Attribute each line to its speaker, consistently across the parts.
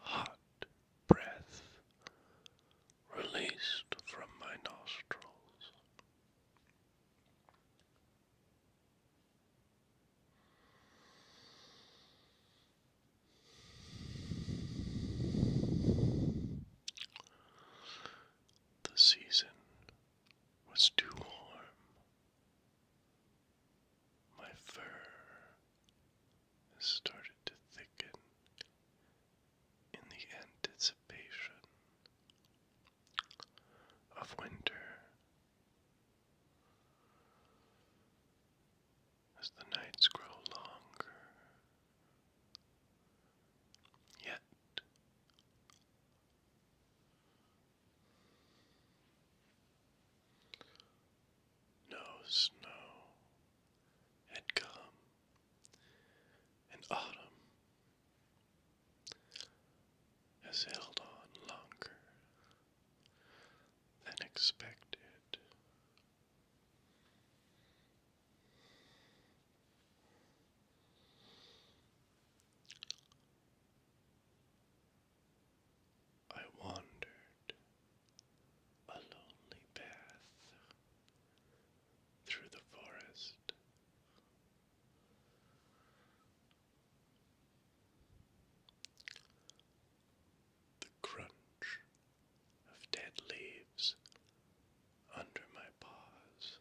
Speaker 1: Hot breath released from my nostrils. The season was too warm. My fur started to thicken in the anticipation of winter as the nights grow longer, yet no snow had come, and autumn has held on longer than expected. I wandered a lonely path through the forest. The crunch of dead leaves under my paws.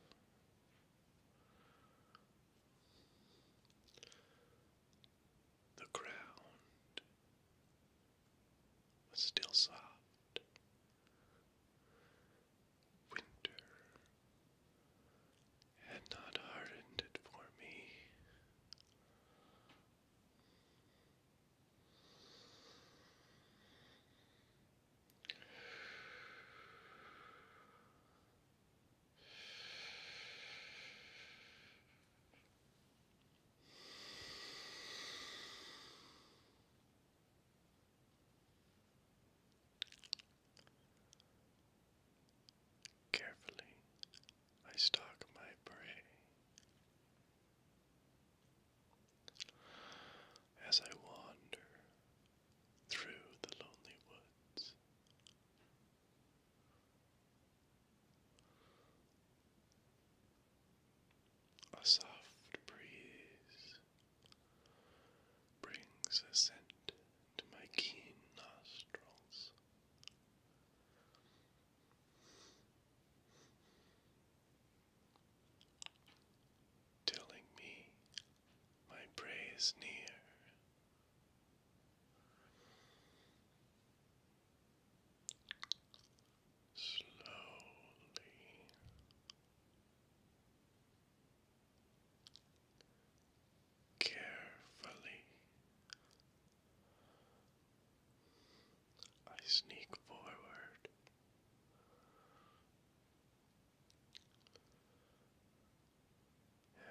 Speaker 1: The ground was still soft. Winter had not hardened it for me. Carefully, I stalk my prey. As I wander through the lonely woods, a soft breeze brings a scent to my keen nostrils telling me my prey is near. Slowly carefully. I sneak forward.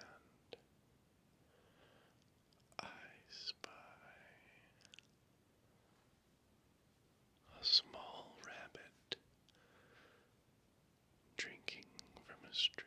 Speaker 1: And I spy a small rabbit drinking from a stream.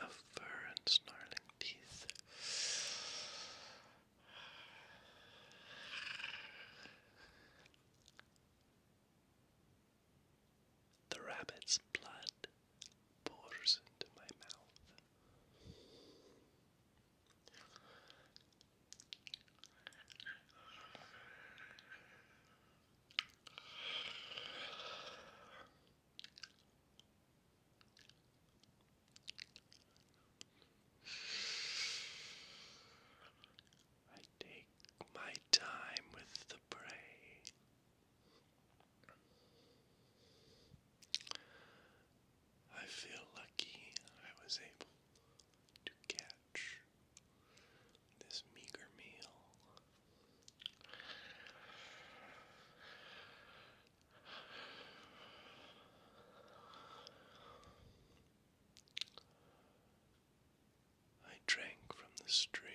Speaker 1: of fur and snarling teeth. The rabbit's blood pours into my mouth. I take my time with the prey. I feel lucky I was able to catch this meager meal I drank from the stream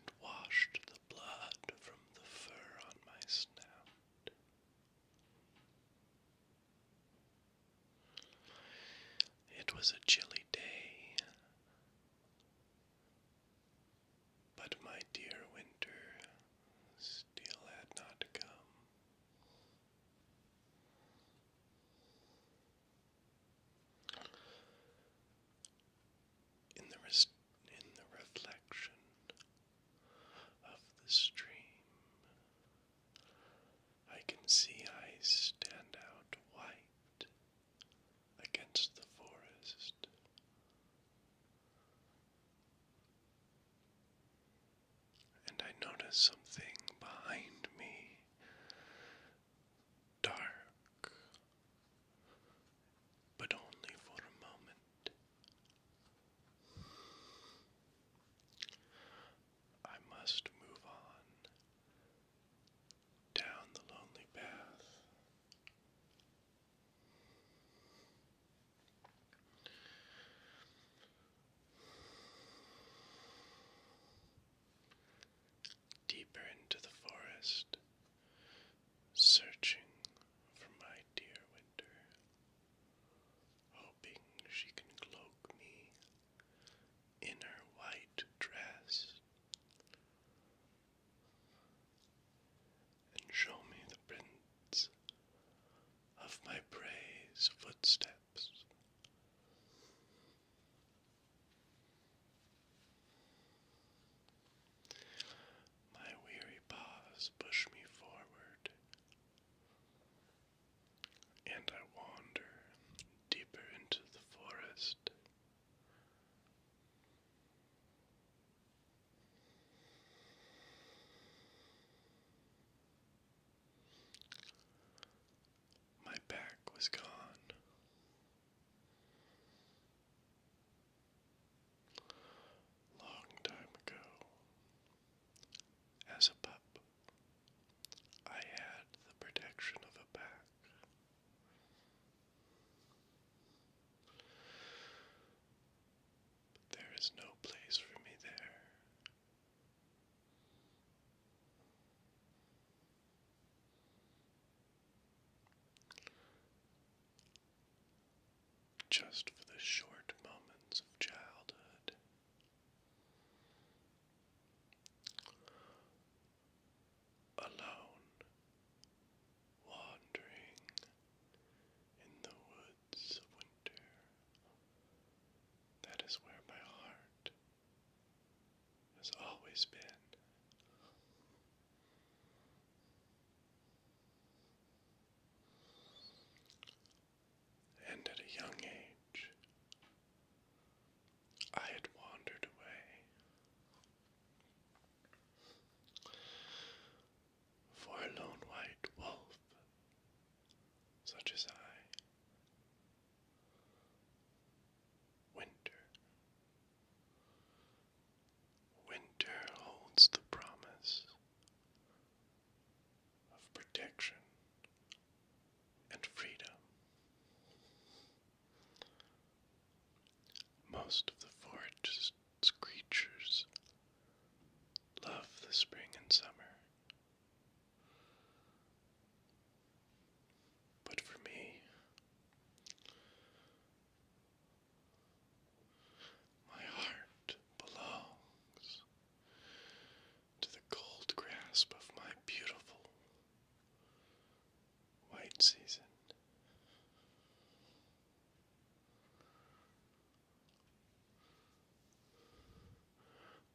Speaker 1: and washed the blood from the fur on my snout. It was a chilly day. But my dear winter still had not come. In the, res in the reflection of the stream, I can see ice stand out white against the forest. And I notice something behind me dark, but only for a moment. I must move on down the lonely path. Deeper into the forest, searching for my dear winter, hoping she can cloak me in her white dress and show me the prints of my prey's footsteps. My weary paws push me forward, and I wander deeper into the forest. My back was gone. Long time ago, as a pup, I had the protection of a pack there is no place for me there. Just for the short moments of childhood alone, wandering in the woods of winter. That is where my heart has always been. And at a young age, I had wandered away for a lone white wolf such as I, winter. Winter holds the promise of protection and freedom. Most of the forest creatures love the spring and summer. But for me, my heart belongs to the cold grasp of my beautiful White season.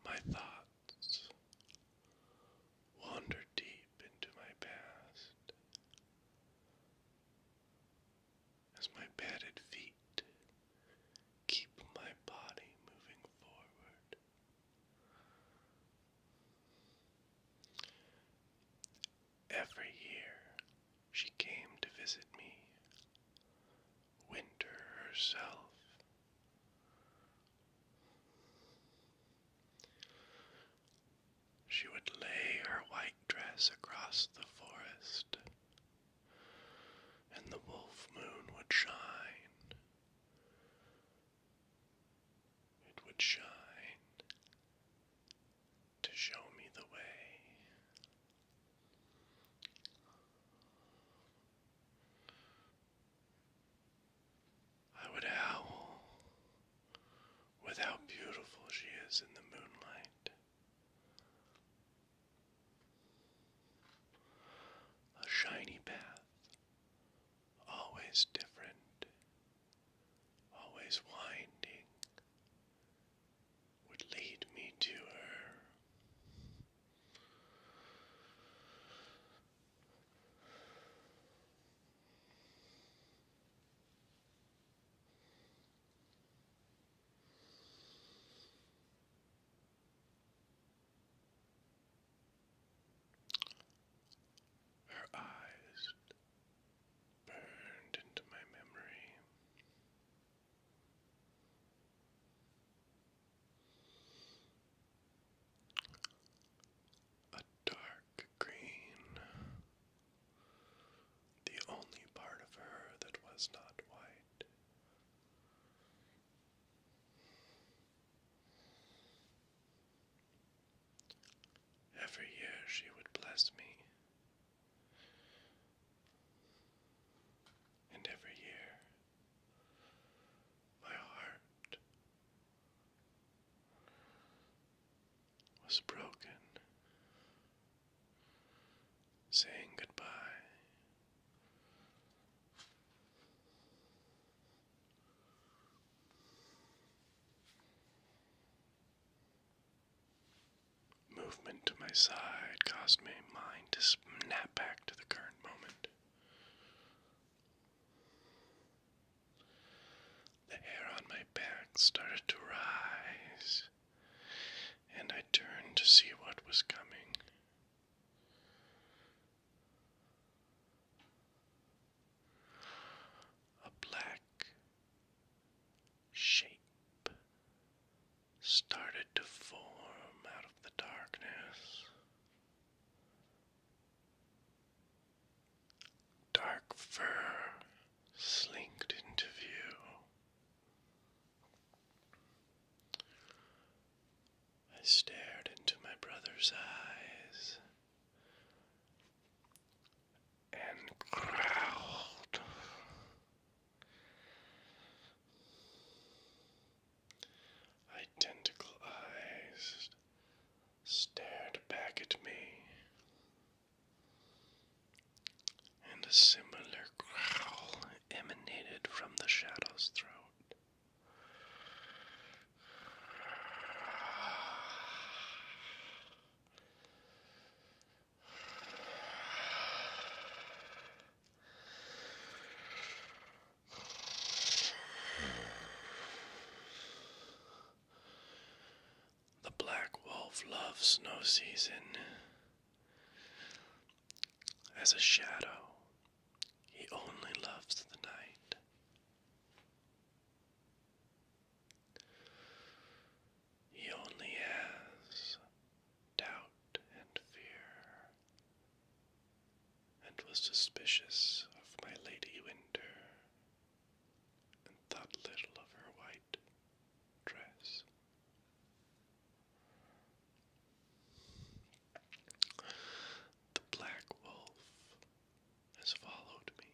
Speaker 1: My thoughts wander deep into my past as my padded feet keep my body moving forward. Every year she came to visit me, Winter herself. She would lay her white dress across the forest, and the wolf moon would shine. It would shine to show me the way. I would howl with how beautiful she is in the moonlight. A shiny path, always different always winding, would lead me to her. Her eyes burned into my memory. A dark green, the only part of her that was not white. Every year she would bless me, and every year my heart was broken, saying goodbye. Movement to my side caused my mind to snap back to the current moment. The hair on my back started to rise, and I turned to see what was coming. A black shape started to form out of the darkness. Dark fur slinked into view. I stared into my brother's eyes and growled. Identical eyes stared back at me, and a similar growl emanated from the shadow's throat. The black wolf loves snow season as a shadow. He only loves the night. He only has doubt and fear, and was suspicious of my Lady Winter, and thought little of her white dress. The black wolf has followed me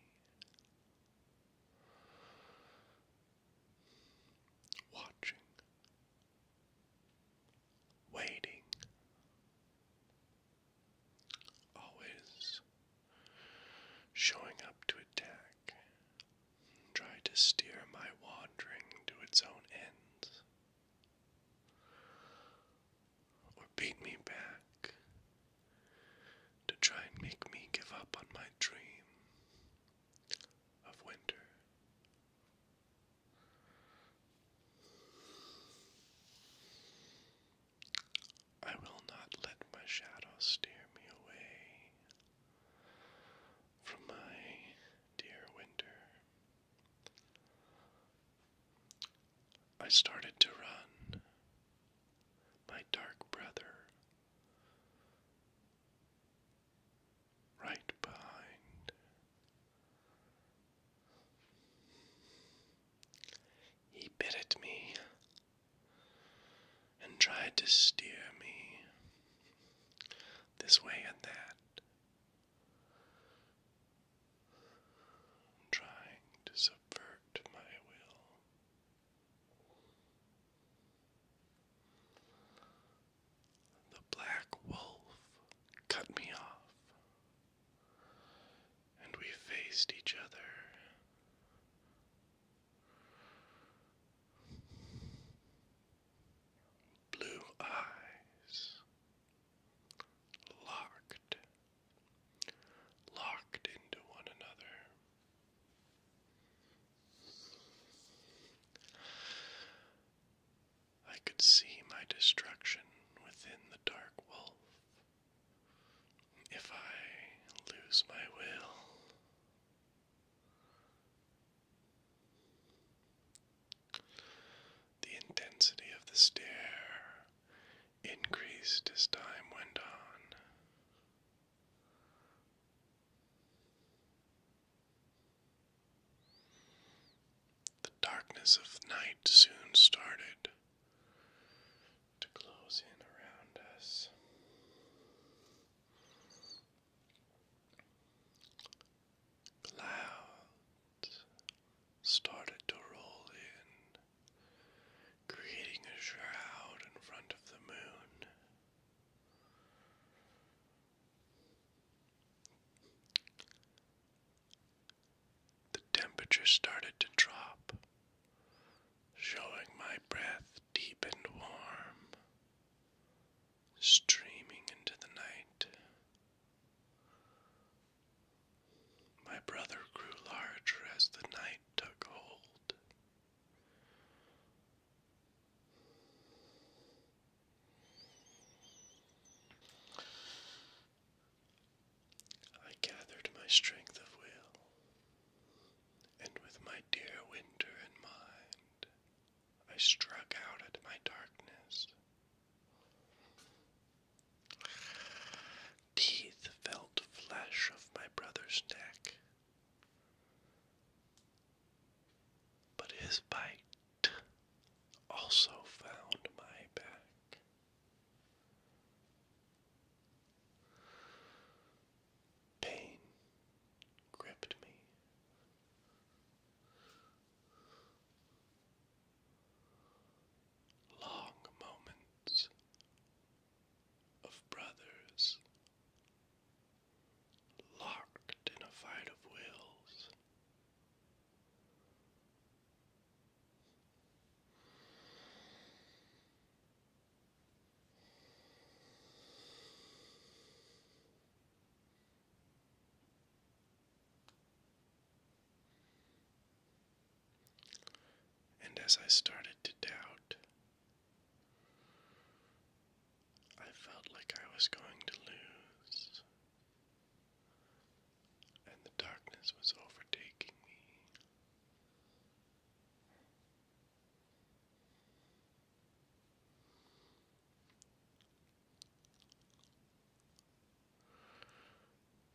Speaker 1: watching, waiting, always showing up to attack, try to steer my wandering to its own ends, or beat me back to try and make me give up on my dream of winter. I will not let my shadow steer me away from my dear winter. I started to run. My dark brother right behind. He bit at me and tried to steer me this way and that, trying to subvert my will. The black wolf cut me off, and we faced each other. Blue eyes locked, locked into one another. I could see my destruction within the dark wolf. If I lose my will, the intensity of the stare increased as time went on. The darkness of night soon started to close in around us. Clouds started to roll in creating a shroud in front of the moon. The temperature started to drop, showing my breath deep and warm, streaming into the night. My brother grew larger as the night took hold. I gathered my strength of will, and with my dear winter in mind, I struck out at my darkness. Teeth felt flesh of my brother's neck, but his bite also found my back. Pain gripped me. Long moments of brothers locked in a fight of wills. And as I started to doubt I felt like I was going to lose, and the darkness was overtaking me.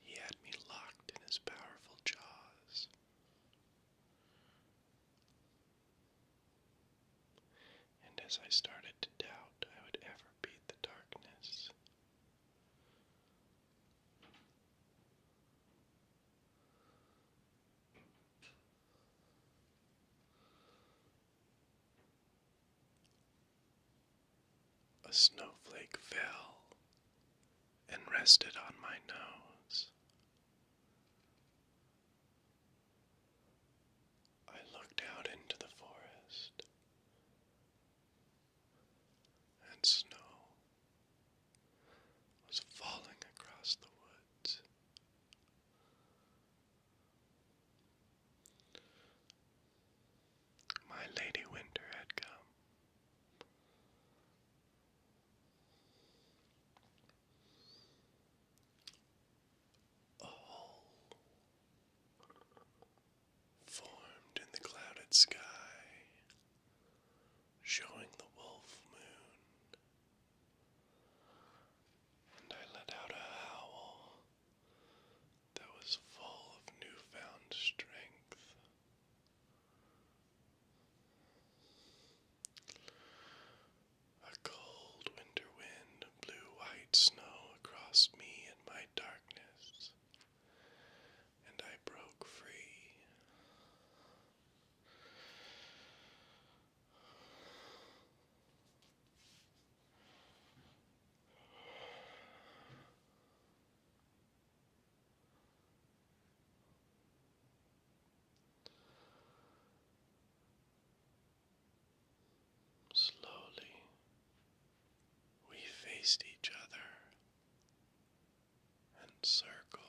Speaker 1: He had me locked in his powerful jaws, and as I started to doubt I would ever beat the darkness, a snowflake fell and rested on my nose. I looked out into the forest and snow was falling across the woods. My Lady Winter had come formed in the clouded sky, showing the wolf moon. And I let out a howl that was full of newfound strength. A cold winter wind blew white snow across me in my darkness, and I broke free. Slowly, we faced each other and circled,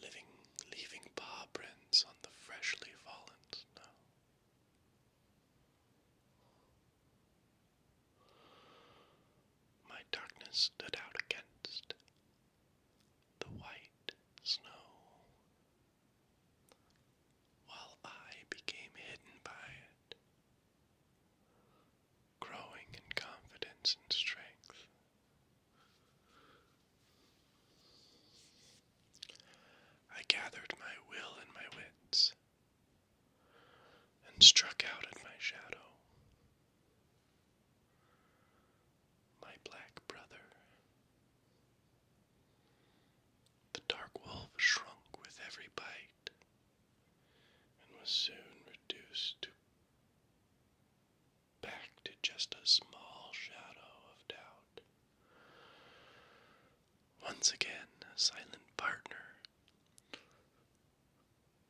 Speaker 1: living, leaving paw prints on the freshly fallen snow. My darkness stood out against the white snow, while I became hidden by it, growing in confidence and strength. I gathered my will and my wits and struck out at my shadow my black brother. The dark wolf shrunk with every bite and was soon reduced back to just a small shadow of doubt. Once again, a silent partner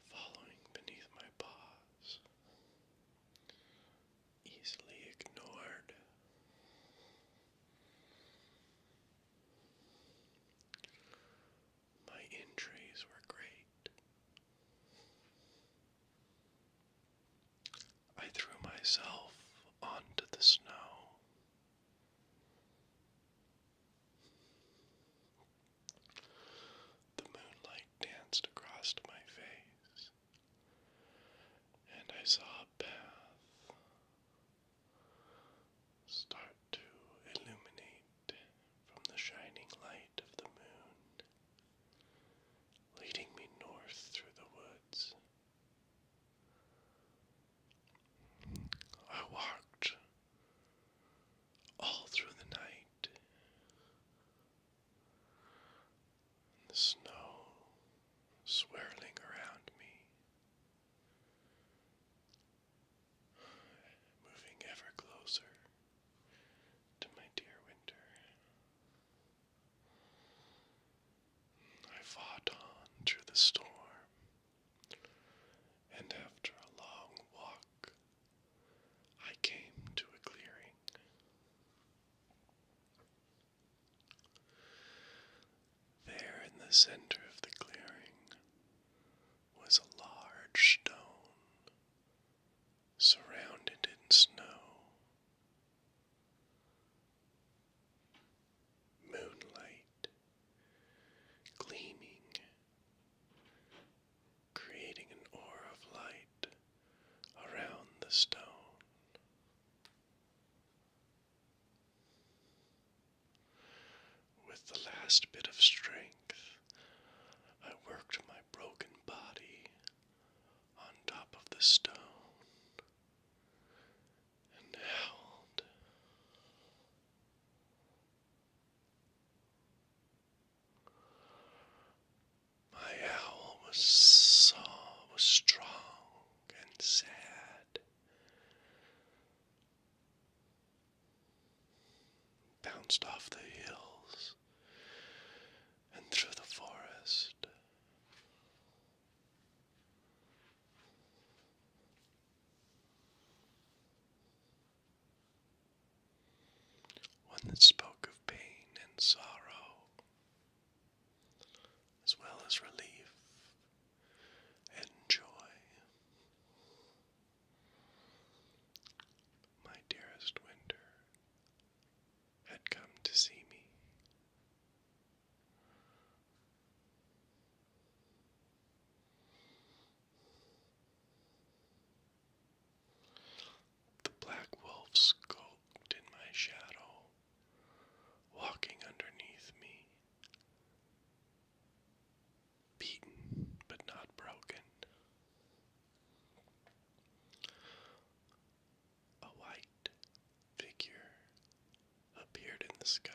Speaker 1: following beneath my paws, easily ignored. My injuries were great. I threw myself onto the snow. The moonlight danced across my face, and I saw a path start to illuminate from the shining light of the moon, leading me north through the woods. I walked all through the night, the snow swirling around me, moving ever closer to my dear winter. I fought on through the storm, and after a long walk I came to a clearing. There in the center of the clearing was a large stone surrounded in snow. Moonlight gleaming creating an aura of light around the stone. With the last bit of strength, I worked my broken body on top of the stone and held. My owl was so was strong and sad. Bounced off the hills and through the forest one that spoke of pain and sorrow, as well as relief and joy. My dearest Winter had come to see me. The black wolf skulked in my shadow, walking underneath me. Beaten but not broken. A white figure appeared in the sky,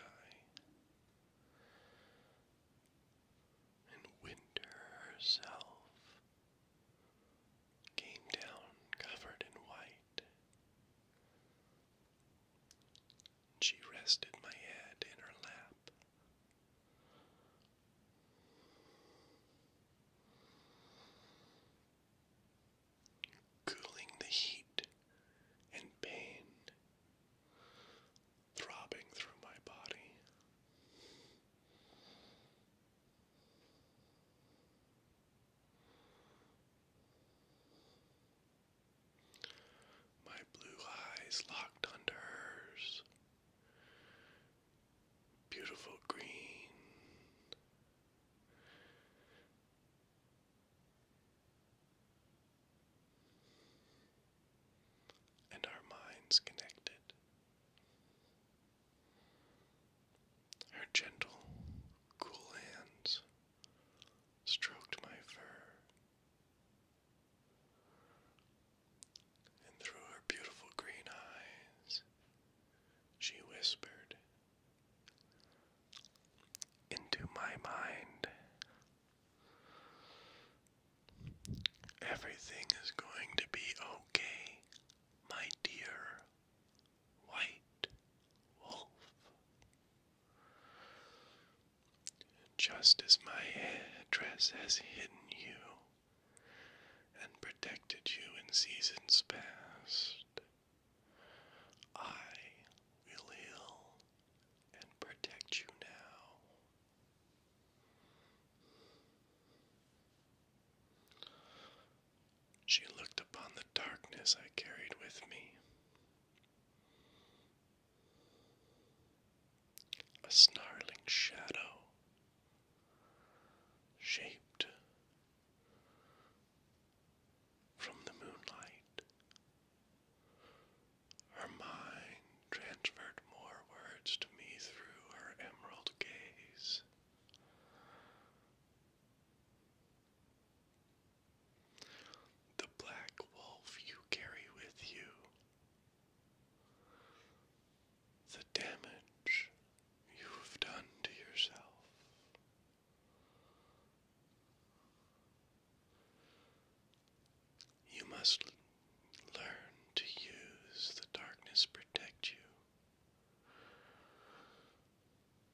Speaker 1: and Winter herself came down covered in white. She rested my head in her lap. Cooling the heat and pain throbbing through my body. My blue eyes locked under hers. Beautiful green. And our minds connected. Her gentle, cool hands stroked my fur, and through her beautiful green eyes, she whispered, Into my mind. Everything is going to be okay, my dear white wolf. Just as my headdress has hidden you and protected you in seasons past, I will heal and protect you now. She looked upon the darkness I carried with me. A snarling shadow shaped from the moonlight. Her mind transferred more words to me through her emerald gaze. The black wolf you carry with you, the damage you have done to yourself. You must Learn to use the darkness protect you.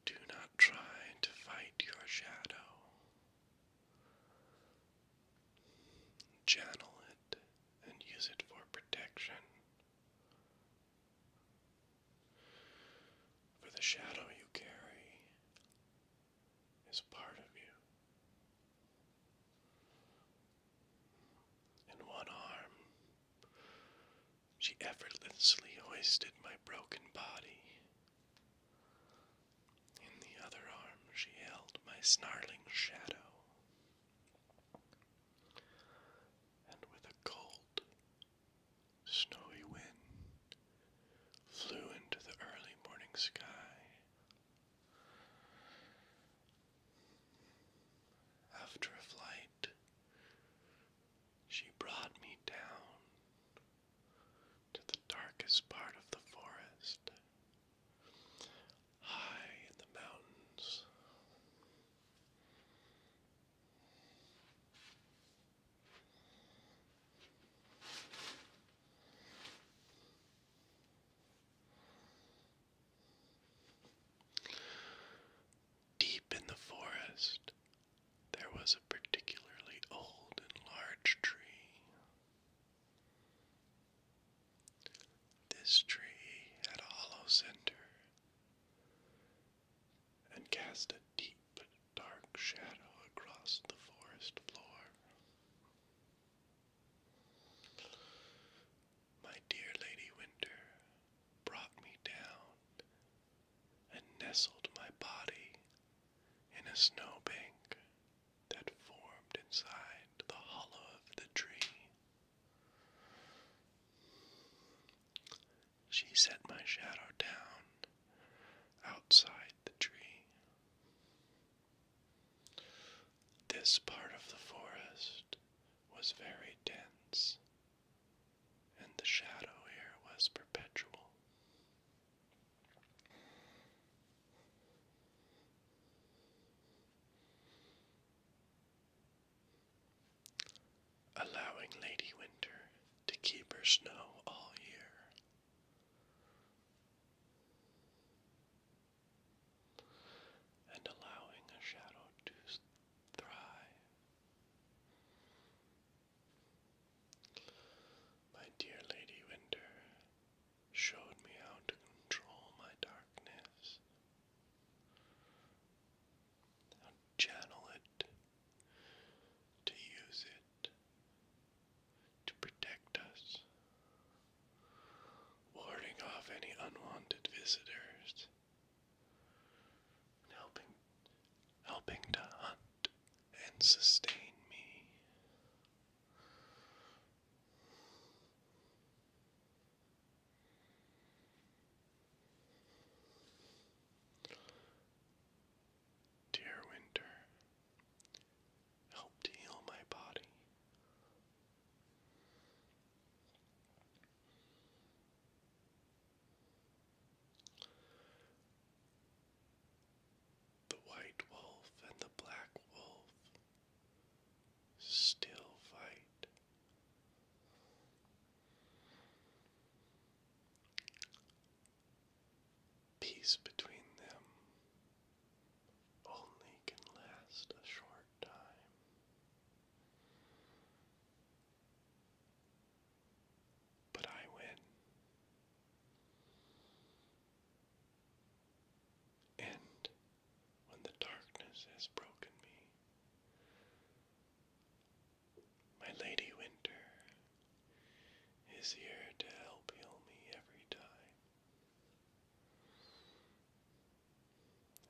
Speaker 1: Do not try to fight your shadow. Channel it and use it for protection. For the shadow you carry is part of you. In one arm, she effortlessly hoisted my broken body. In the other arm, she held my snarling shadow. And with a cold, snowy wind, flew into the early morning sky. After a flight, she brought me down to the darkest part of the forest, high in the mountains. Deep in the forest, there was a particularly old and large tree. This tree had a hollow center and cast a deep, dark shadow across the forest floor. My dear Lady Winter brought me down and nestled my body in a snowbank that formed inside the hollow of the tree. She set my shadow down outside the tree. This part of the forest was very dense, and the shadow here was perpetual. Allowing Lady Winter to keep her snow all year and allowing a shadow to thrive. My dear Lady Winter showed me how to control my darkness, how channel it, to use it, to protect us warding off any unwanted visitors, and helping helping to hunt and sustain me. Dear Winter, help to heal my body. The white wolf and the black wolf still fight. Peace between them only can last a short time. But I win. And when the darkness has broken me, my Lady Winter is here to help heal me every time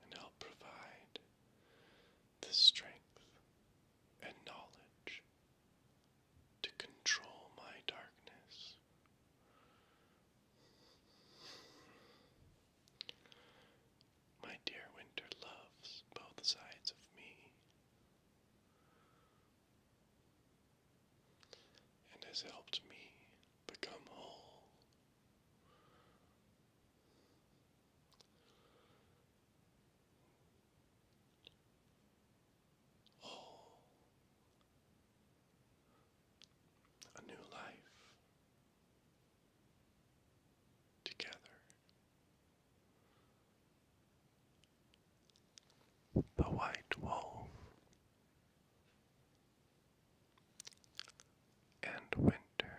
Speaker 1: and help provide the strength and knowledge to control my darkness. My dear winter loves both sides of me. And has helped me become whole Oh, a new life together. The white wolf and winter.